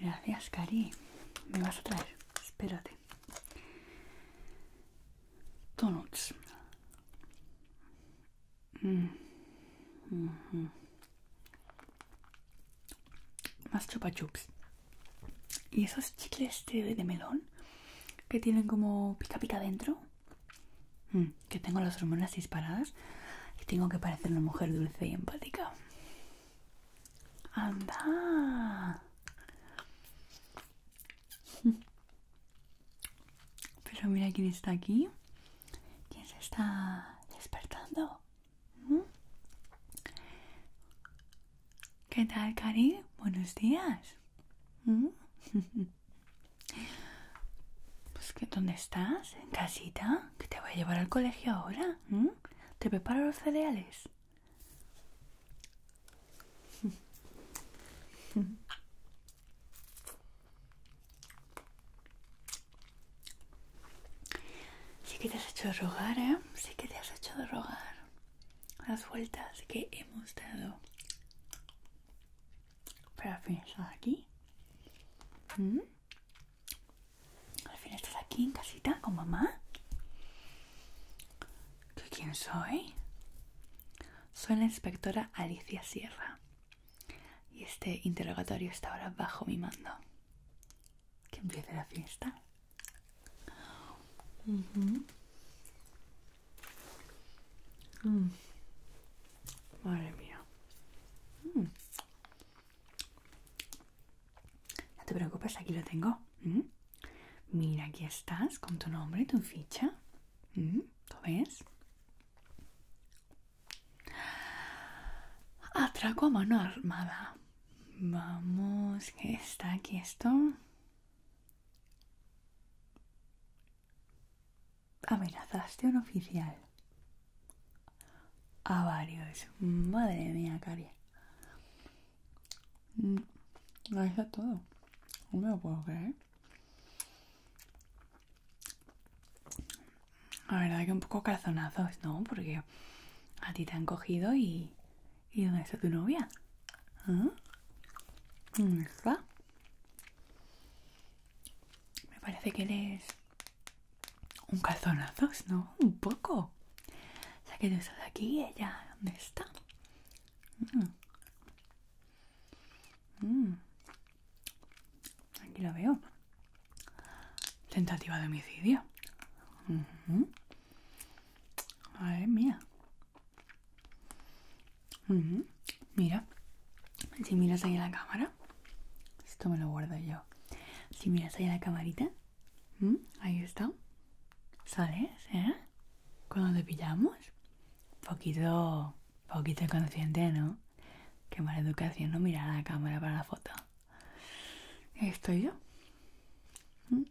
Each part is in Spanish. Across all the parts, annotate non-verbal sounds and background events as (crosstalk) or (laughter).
Gracias, Cari. Me vas a traer. Espérate. Mm. Mm-hmm. más chupa chups y esos chicles de, melón que tienen como pica pica dentro mm, que tengo las hormonas disparadas y tengo que parecer una mujer dulce y empática Anda. (laughs) Pero mira quién está aquí. ¿Quién se está despertando? ¿Mm? ¿Qué tal, Cari? Buenos días. ¿Mm? (laughs) Pues que, ¿dónde estás? ¿En casita? ¿Que te voy a llevar al colegio ahora? ¿Mm? ¿Te preparo los cereales? Sí que te has hecho rogar, ¿eh? Sí que te has hecho rogar. Las vueltas que hemos dado para finalizar aquí. ¿Mm? Al fin estás aquí en casita con mamá. quién soy? Soy la inspectora Alicia Sierra. Y este interrogatorio está ahora bajo mi mando. Que empiece la fiesta. Mm. Madre mía. Mm. No te preocupes, aquí lo tengo. ¿Mm? Mira, aquí estás con tu nombre, tu ficha. ¿Mm? ¿Lo ves? Atraco a mano armada. Vamos, que está aquí esto. Amenazaste a un oficial. A varios. Madre mía, Cari. Mm, ahí está todo. No me lo puedo creer. La verdad que un poco calzonazos, ¿no? Porque a ti te han cogido y... ¿Y dónde está tu novia? ¿Ah? ¿Dónde está? Me parece que eres un calzonazos, ¿no? Un poco. ya sea que tú aquí y ella, ¿dónde está? Mm. Mm. Aquí lo veo. Tentativa de homicidio. A ver, mía. Mira. Si miras ahí a la cámara. Esto me lo guardo yo. Si miras ahí a la camarita, Mm, ahí está. ¿Sales, eh? Cuando te pillamos. Poquito, poquito inconsciente, ¿no? Qué mala educación no mirar a la cámara para la foto. Estoy yo. Mm.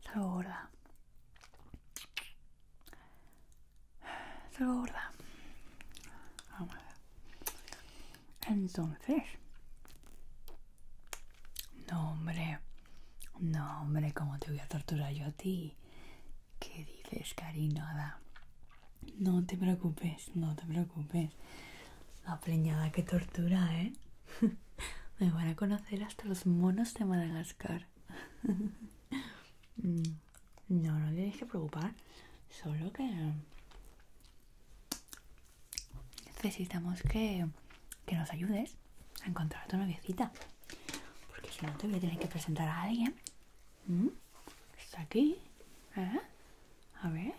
Segura. gorda. gorda. Vamos a ver. Entonces, no, hombre, no, hombre, ¿cómo te voy a torturar yo a ti? ¿Qué dices, cariñada? No te preocupes, no te preocupes. La preñada que tortura, ¿eh? (laughs) Me van a conocer hasta los monos de Madagascar. (laughs) Mm, no, no tienes que preocupar. Solo que necesitamos que, nos ayudes a encontrar a tu noviecita. Porque si no te voy a tener que presentar a alguien. ¿Mm? Está aquí. ¿Eh? A ver.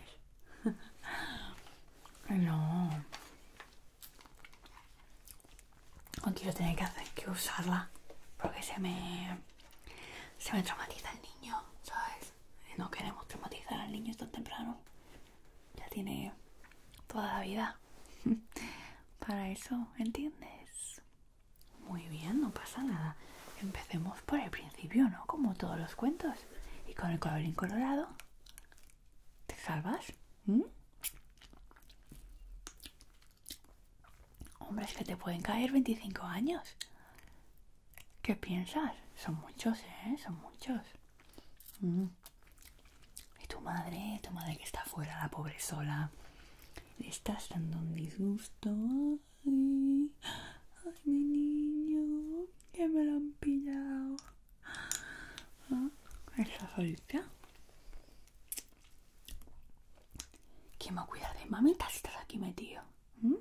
(laughs) no. contigo quiero tener que hacer que usarla. Porque se me. se me traumatiza el niño, ¿sabes? Eh, no queremos traumatizar al niño tan temprano. Ya tiene toda la vida. (laughs) Para eso, ¿entiendes? Muy bien, no pasa nada. Empecemos por el principio, ¿no? Como todos los cuentos. Y con el colorín colorado. ¿Te salvas? ¿Mm? hombres Hombre, es que te pueden caer 25 años. ¿Qué piensas? Son muchos, ¿eh? Son muchos. Mm. Y tu madre, tu madre que está afuera, la pobre sola. Le estás dando un disgusto. Ay, mi niño, que me lo han pillado. Ah, Esa solita? ¿Quién va a cuidar de mamita estás aquí metido? ¿Mm?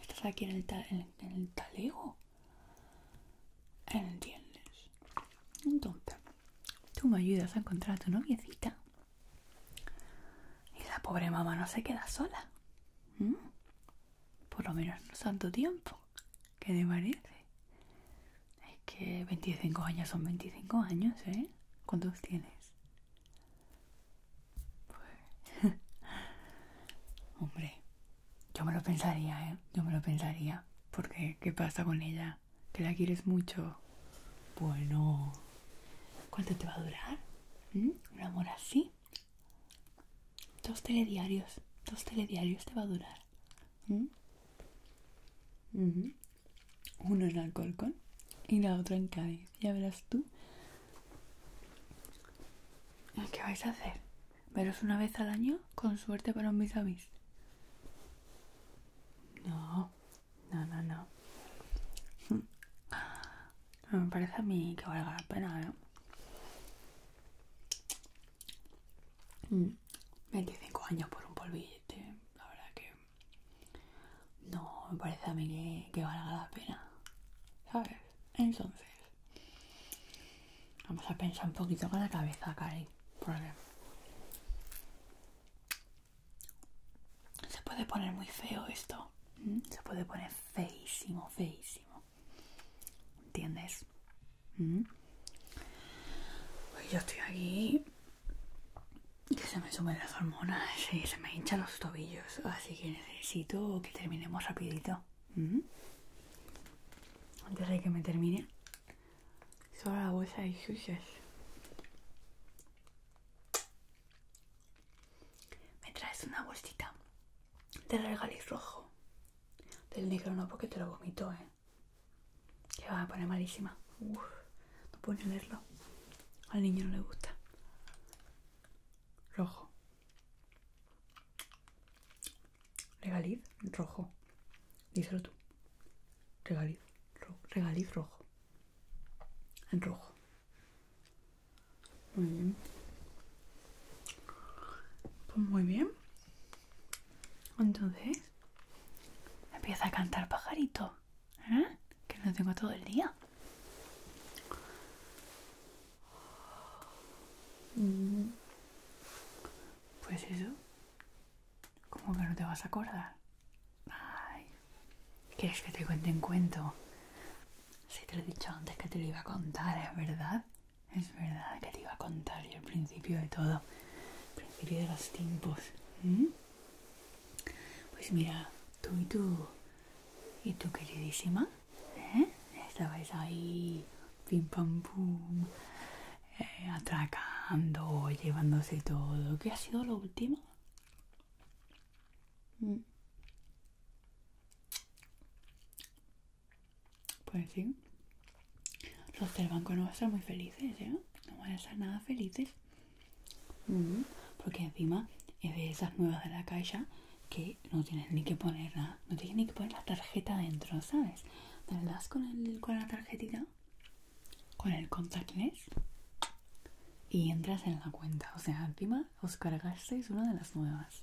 Estás aquí en el, tal en, talego. ¿Entiendes? Entonces, tú me ayudas a encontrar a tu noviecita. Y la pobre mamá no se queda sola. ¿Mm? Por lo menos no tanto tiempo. ¿Qué te parece? Es que 25 años son 25 años, ¿eh? ¿Cuántos tienes? (laughs) hombre, yo me lo pensaría, ¿eh? Yo me lo pensaría. Porque, ¿qué pasa con ella? ¿Que la quieres mucho? Bueno, ¿cuánto te va a durar? ¿Mm? ¿Un amor así? Dos telediarios, dos telediarios te va a durar. ¿Mm? Uno en Alcorcón y la otra en Cádiz ya verás tú. ¿Qué vais a hacer? ¿Veros una vez al año? Con suerte para un bis a No, no, no, no. me parece a mí que valga la pena, 25 ¿eh? mm, años por un polvillete, la verdad que no me parece a mí que, valga la pena, ¿sabes? Entonces, vamos a pensar un poquito con la cabeza, Cari, porque se puede poner muy feo esto, se puede poner feísimo, feísimo, ¿entiendes? Pues yo estoy aquí que se me sumen las hormonas y se me hinchan los tobillos, así que necesito que terminemos rapidito. Antes de que me termine, solo la bolsa de Me traes una bolsita de regaliz rojo. Del negro no, porque te lo vomito, ¿eh? Que va a poner malísima. no puedo ni Al niño no le gusta. Rojo. Regaliz rojo. Díselo tú. Regaliz, rojo. En rojo. Muy bien. Pues muy bien. Entonces, empieza a cantar pajarito. ¿Eh? Que no tengo todo el día. Mm. Pues eso. ¿Cómo que no te vas a acordar? Ay. ¿Quieres que te cuente un cuento? Si te lo he dicho antes que te lo iba a contar, es verdad. Es verdad que te iba a contar y el principio de todo. principio de los tiempos. ¿Mm? Pues mira, tú y tú, y tu queridísima, ¿eh? estabais ahí, pim pam pum, eh, atracando, llevándose todo. ¿Qué ha sido lo último? Mm. Pues fin, los del banco no van a estar muy felices, ¿eh? No van a estar nada felices porque encima es de esas nuevas de la calle que no tienes ni que poner no tienes ni que poner la tarjeta dentro, ¿sabes? Te das con, el, con la tarjetita, con el contactless y entras en la cuenta. O sea, encima os cargasteis una de las nuevas.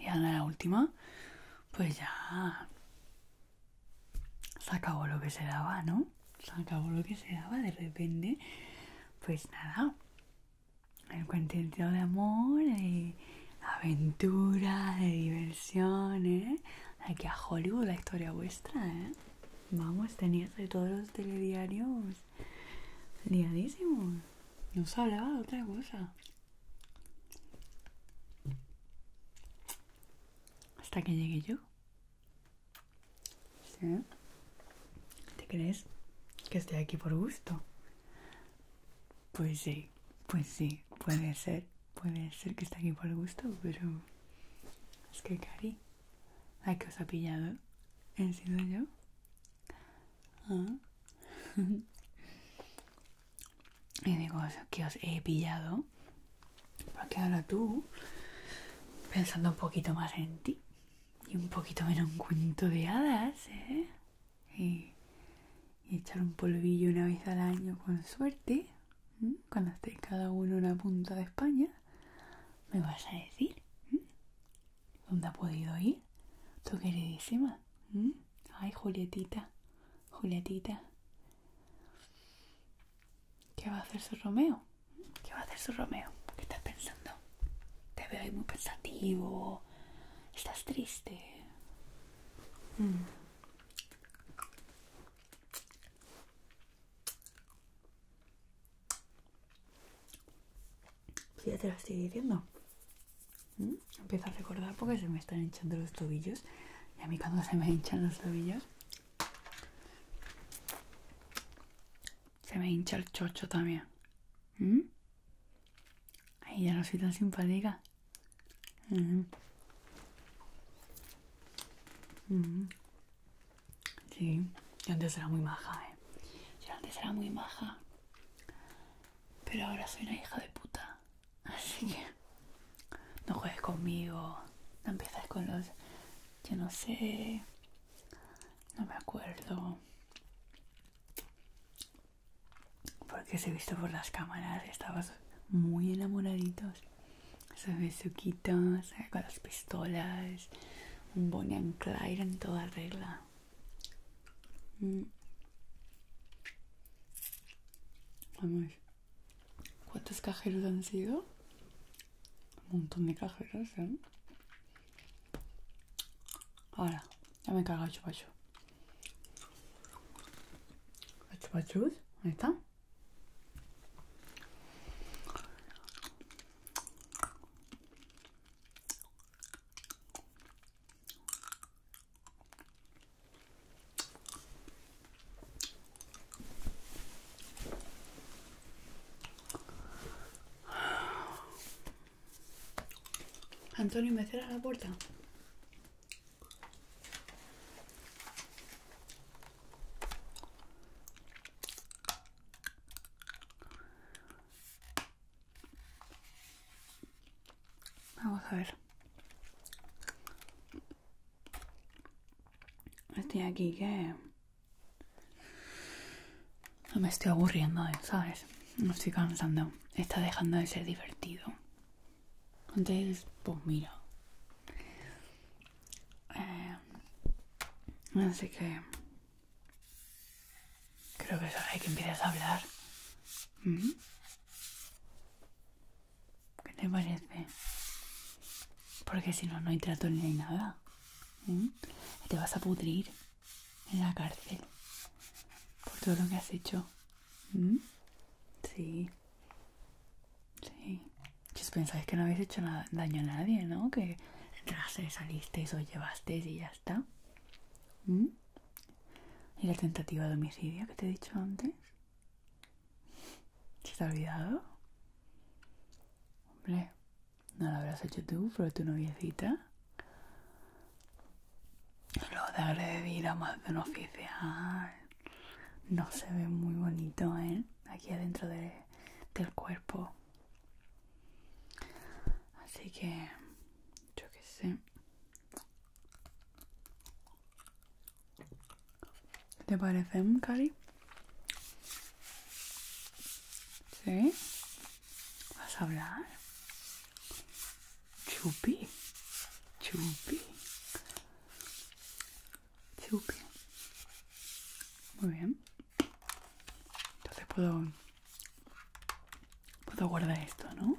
Y ahora la última, pues ya se acabó lo que se daba, ¿no? Se acabó lo que se daba de repente. Pues nada, el contenido de amor, de aventura, de diversión, ¿eh? Aquí a Hollywood la historia vuestra, ¿eh? Vamos, teniendo todos los telediarios liadísimo. Nos hablaba de otra cosa. Hasta que llegue yo. ¿Te crees que estoy aquí por gusto? Pues sí, pues sí, puede ser. Puede ser que esté aquí por gusto, pero... Es que, Cari, ¡Ay que os ha pillado he sido yo. Ah. (laughs) y digo que os he pillado. Porque ahora tú, pensando un poquito más en ti y un poquito menos un cuento de hadas, ¿eh? Y, echar un polvillo una vez al año con suerte, cuando esté cada uno en una punta de España. ¿Me vas a decir? ¿Mm? ¿Dónde ha podido ir? Tu queridísima. ¿Mm? Ay, Julietita, Julietita. ¿Qué va a hacer su Romeo? ¿Mm? ¿Qué va a hacer su Romeo? ¿Qué estás pensando? Te veo ahí muy pensativo. Estás triste ya te lo estoy diciendo. ¿Mm? Empiezo a recordar porque se me están hinchando los tobillos. Y a mí cuando se me hinchan los tobillos... Se me hincha el chocho también. ¿Mm? ahí ya no soy tan simpática. ¿Mm? Sí, yo antes era muy maja, eh. Yo antes era muy maja. Pero ahora soy una hija de puta. Así que no juegues conmigo. No empiezas con los... Yo no sé. No me acuerdo. Porque se he visto por las cámaras, estabas muy enamoraditos sabe suquitos, eh, con las pistolas, un Bonnie and en toda regla. Mm. Vamos, ¿cuántos cajeros han sido? Un montón de cajeros, ¿eh? Ahora, ya me he cargado el chupachu. chupachos? está. Antonio, ¿me cerra la puerta? Vamos a ver. Estoy aquí que... me estoy aburriendo, ¿sabes? me estoy cansando. Está dejando de ser divertido. Entonces, pues mira. Eh, así que creo que es hora de que empiezas a hablar. Mm-hmm. ¿Qué te parece? Porque si no, no hay trato ni hay nada. y mm-hmm. Te vas a pudrir en la cárcel por todo lo que has hecho. Mm-hmm. Sí. Sí. os pues pensáis que no habéis hecho daño a nadie, ¿no? Que entraste, salisteis, os llevasteis y ya está. ¿Mm? ¿Y la tentativa de homicidio que te he dicho antes? ¿Se te ha olvidado? Hombre, no lo habrás hecho tú, pero tu noviecita. Lo de agredir a más de un oficial no se ve muy bonito, ¿eh? Aquí adentro del cuerpo. Así que, yo qué sé. ¿Te parece, Cari? ¿Sí? ¿Vas a hablar? Chupi. Chupi. Muy bien. Entonces puedo, puedo guardar esto, ¿no?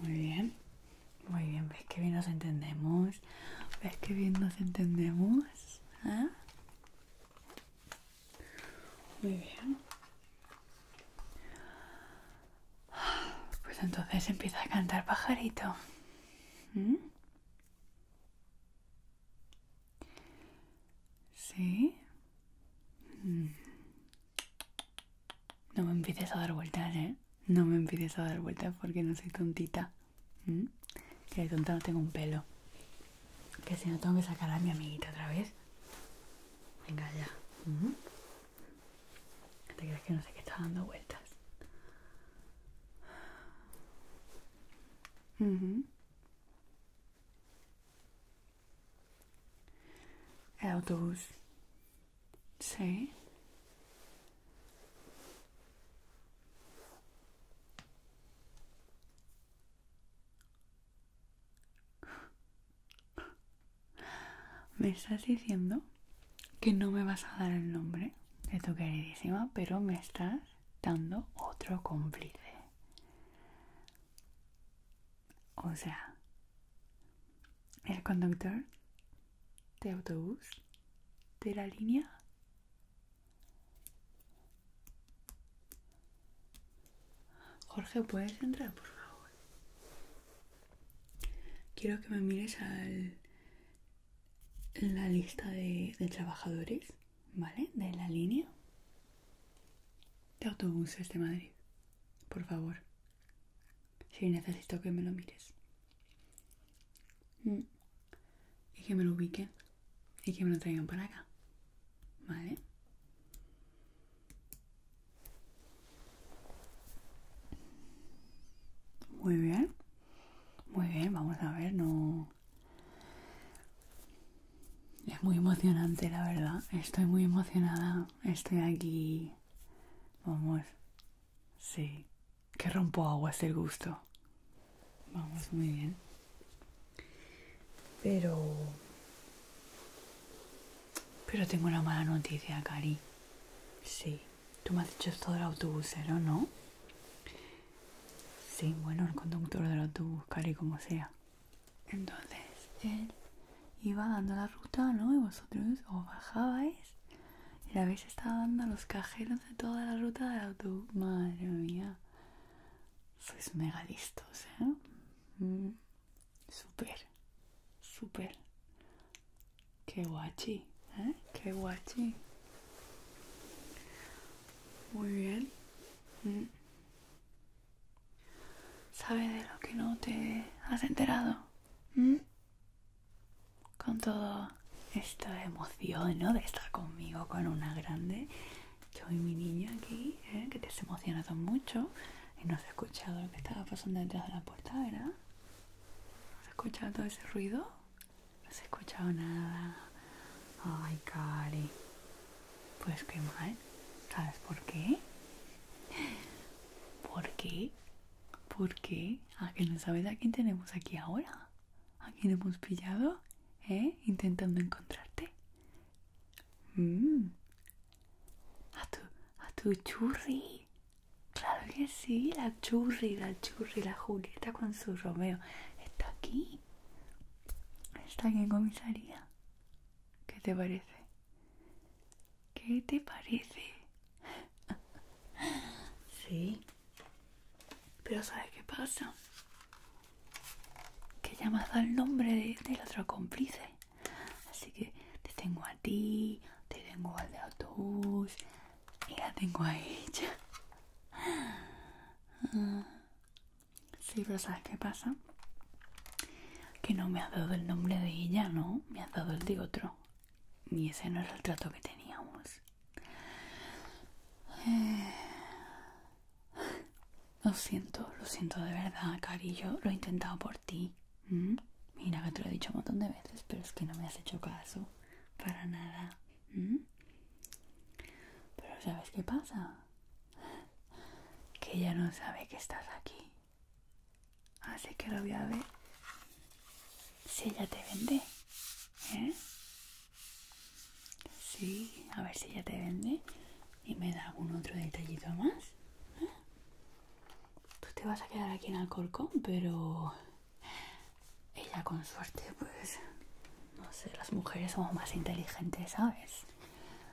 Muy bien. Muy bien, ¿ves que bien nos entendemos? ¿Ves qué bien nos entendemos? ¿Eh? Muy bien. Pues entonces empieza a cantar pajarito. ¿Sí? Mm. No me empieces a dar vueltas, ¿eh? No me empieces a dar vueltas porque no soy tontita. Que mm. de tonta no tengo un pelo. Que si no tengo que sacar a mi amiguita otra vez. Venga ya. Mm. ¿Te crees que no sé qué está dando vueltas? El autobús. Sí. ¿Me estás diciendo que no me vas a dar el nombre de tu queridísima, pero me estás dando otro cómplice. O sea, el conductor de autobús de la línea. Jorge, ¿puedes entrar, por favor? Quiero que me mires al la lista de, de trabajadores, ¿vale? De la línea de autobuses de Madrid. Por favor. Si necesito que me lo mires. Mm. Y que me lo ubiquen. Y que me lo traigan para acá. ¿Vale? Muy bien. Muy bien, vamos a ver, no... Es muy emocionante, la verdad. Estoy muy emocionada. Estoy aquí. Vamos. Sí. Que rompo aguas el gusto. Vamos, muy bien. Pero... Pero tengo una mala noticia, Cari. Sí. Tú me has dicho esto del autobusero, ¿no? Sí, bueno, el conductor del autobús, cari como sea. Entonces, él iba dando la ruta, ¿no? Y vosotros os bajabais y la vez estaba dando los cajeros de toda la ruta del autobús. Madre mía. Sois mega listos, ¿eh? Mm. Súper, súper. Qué guachi, ¿eh? Qué guachi. Muy bien. Mm. ¿Sabes de lo que no te has enterado? Mm. Con toda esta emoción, ¿no? De estar conmigo con una grande. Yo y mi niña aquí, ¿eh? que te has emocionado mucho y no has escuchado lo que estaba pasando detrás de la puerta, ¿verdad? ¿Has escuchado ese ruido? No has escuchado nada. Ay, Cari. Pues qué mal. ¿Sabes por qué? ¿Por qué? ¿Por qué? ¿A que no sabes a quién tenemos aquí ahora? ¿A quién hemos pillado? ¿Eh? Intentando encontrarte. Mm. tu, a tu churri. Claro que sí, la churri, la churri, la Julieta con su Romeo. Está aquí. Está aquí en comisaría. ¿Qué te parece? ¿Qué te parece? (laughs) sí. Pero ¿sabes qué pasa? Que ya al el nombre del otro cómplice. Así que te tengo a ti, te tengo al de autobús y la tengo a ella. (laughs) Sí, pero ¿sabes qué pasa? Que no me has dado el nombre de ella, ¿no? Me has dado el de otro. Y ese no era el trato que teníamos. Eh, lo siento, lo siento de verdad, cariño. lo he intentado por ti. Mm, mira, que te lo he dicho un montón de veces, pero es que no me has hecho caso. Para nada. Mm. Pero ¿sabes qué pasa? Que ella no sabe que estás aquí. Así que lo voy a ver. Si ella te vende. ¿Eh? Sí, a ver si ella te vende. Y me da algún otro detallito más. ¿eh? tú te vas a quedar aquí en Alcorcón, pero ella con suerte, pues, no sé, las mujeres somos más inteligentes, ¿sabes?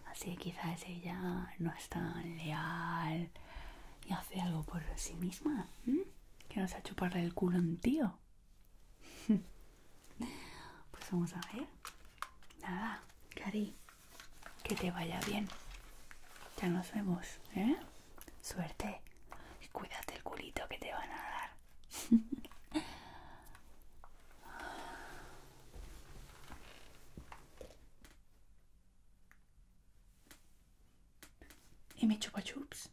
Así que quizás ella no es tan leal y hace algo por sí misma, que nos ha chupado el culo a un tío. (laughs) pues vamos a ver. Nada, Cari. Que te vaya bien. Ya nos vemos, ¿eh? Suerte. Y cuídate el culito que te van a dar. (laughs) ¿Y me chupa chups?